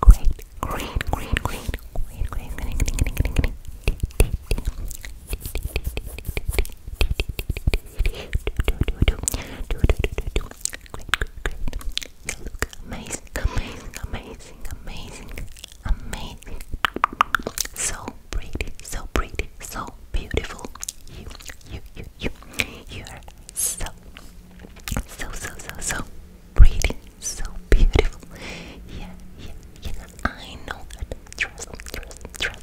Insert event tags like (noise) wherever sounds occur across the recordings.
Great, great, great, great, great, great, great, great, great, great. You look amazing, amazing, amazing, amazing, amazing. So pretty, so pretty, so beautiful. You, you, you, you, you are so, so, so, so, so pretty so beautiful. Yeah, yeah, yeah. I know that. Trust, trust, trust.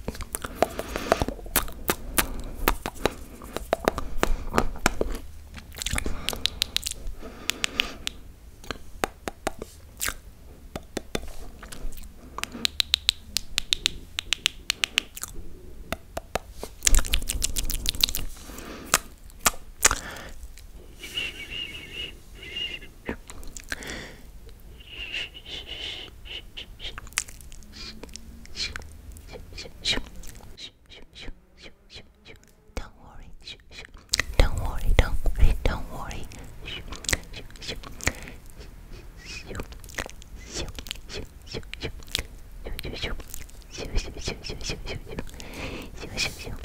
Don't worry. Don't worry. Don't worry. Don't worry.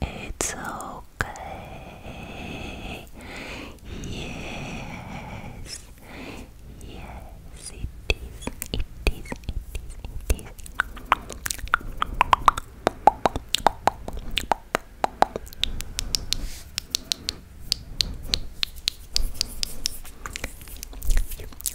It's okay. Yes. Yes, it is. It is. It is. It is.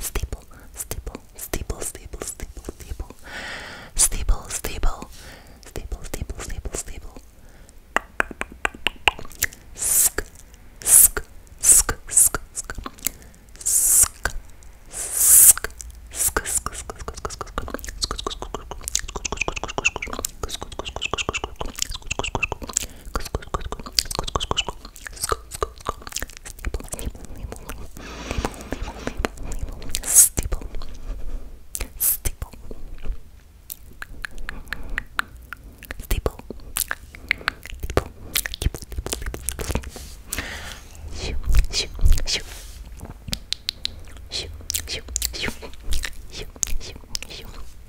Steeple, steeple, steeple, steeple, steeple, steeple, steeple, steeple, steeple, steeple, steeple, steeple. Sk, sk, sk, sk, sk, sk, sk, sk, sk, sk, sk, sk, sk, sk, Steeple. Steeple. Steeple. Shoo, shoo, shoo. Shoo, shoo, shoo. Shoo, shoo, shoo.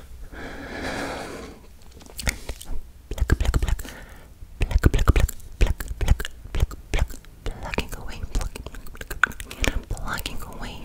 Pluck, pluck, pluck. Pluck, pluck, pluck. Pluck, pluck, pluck, pluck. Plucking away, plucking, plucking, plucking away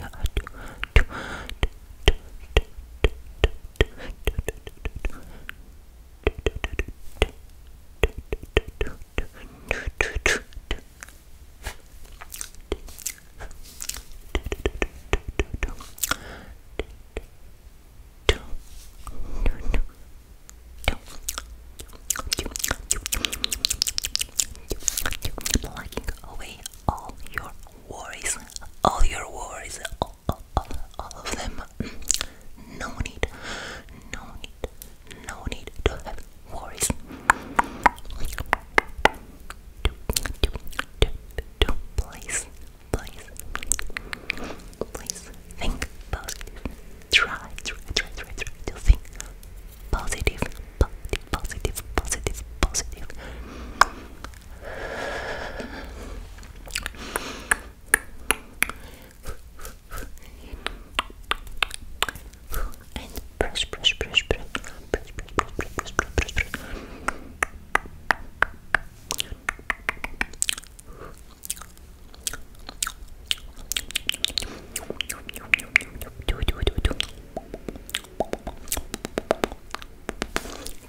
plugging away all your worries, all your worries, all, all, all of them. No need, no need, no need to have worries do, do, do, do, please, please, please think positive. Try, try, try, try, try to think positive, positive, positive, positive, positive. And brush, brush, brush, brush press, press, press, press, press,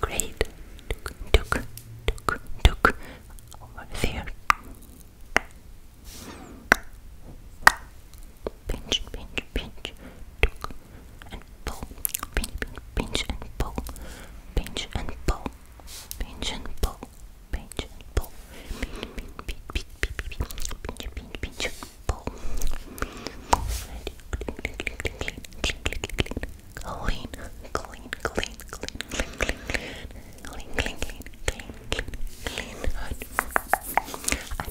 Great. Took, took, took, over there. Pinch, pinch, pinch. Took, and pull, pinch, pinch and pull, pinch and pull, pinch and pull, pinch and pull, pinch, pinch, pinch, pinch, pull, clean, clean, clean, clean, clean, clean, clean, clean, clean, clean, clean, clean, clean, clean, I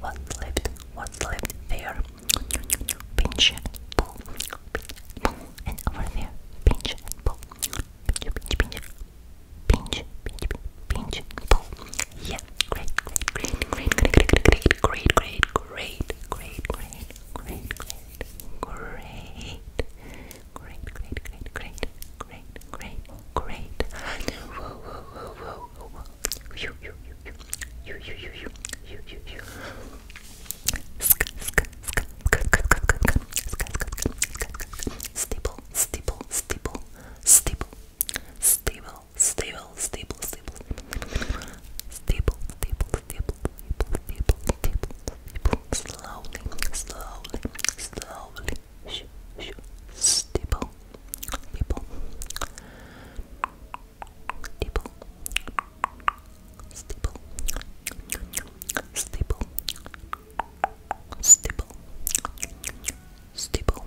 what's left? What's left there? Pinch pull, and over there. Pinch and pull, pinch, pinch, pinch, pinch, pinch, pinch, pinch pull. Yeah, great, great, great, great, great, great, great, great great, great, great, great, great, great, great, great, great, great, great, great. Whoa, whoa, whoa, whoa, whoa, whoa. You, you, you, you, you, you, you, you, you, you, you. Stable, stable, stable, stable, stable, stable, stable, stable, stable, stable, stable, stable, stable, stable, slowly, slowly, slowly, sh sh stable, stable, stable, stable, stable, stable, stable, stable,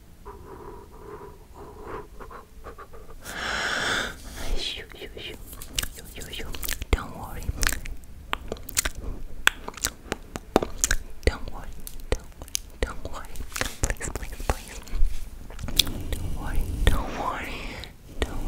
Shoo, shoo, shoo. Shoo, shoo, shoo. Don't worry. Don't worry. Don't, don't worry. Please, please, please. Don't worry. Don't worry. Don't worry.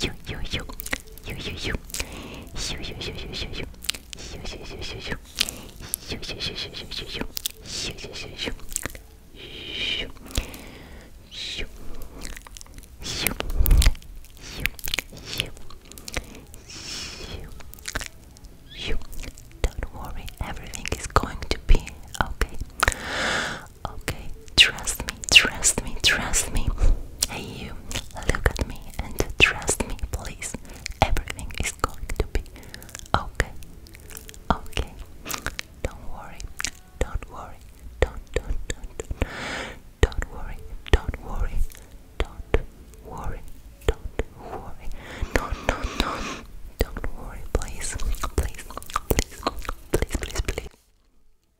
you, you, you, you, you, you, you, you, you, you, you, you. Don't worry, everything is going to be okay. Okay, trust me, trust me, trust me. Hey, you, look at me and trust me, please. Everything is going to be okay. Okay. Don't worry. Don't worry. Don't, don't, don't, don't. worry. Don't worry. Don't worry. Don't worry. No, no, no. Don't worry, please. Please, please, please, please, please.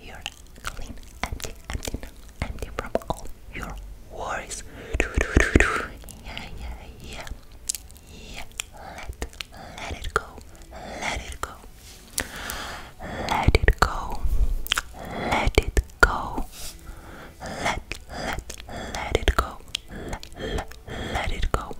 you're clean, empty, empty empty from all your worries. Yeah, yeah, yeah. Yeah. Let, let it go. Let it go. Let it go. Let it go. Let, let, let it go. Let, let, let it go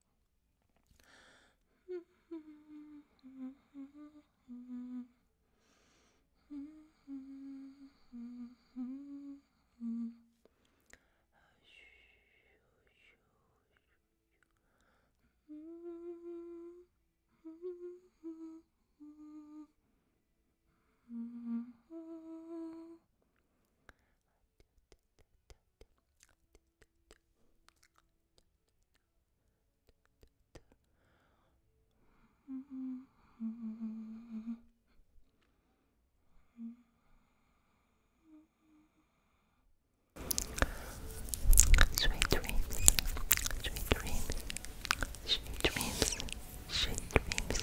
I (laughs) do Sweet dreams, sweet dreams, sweet dreams, sweet dreams.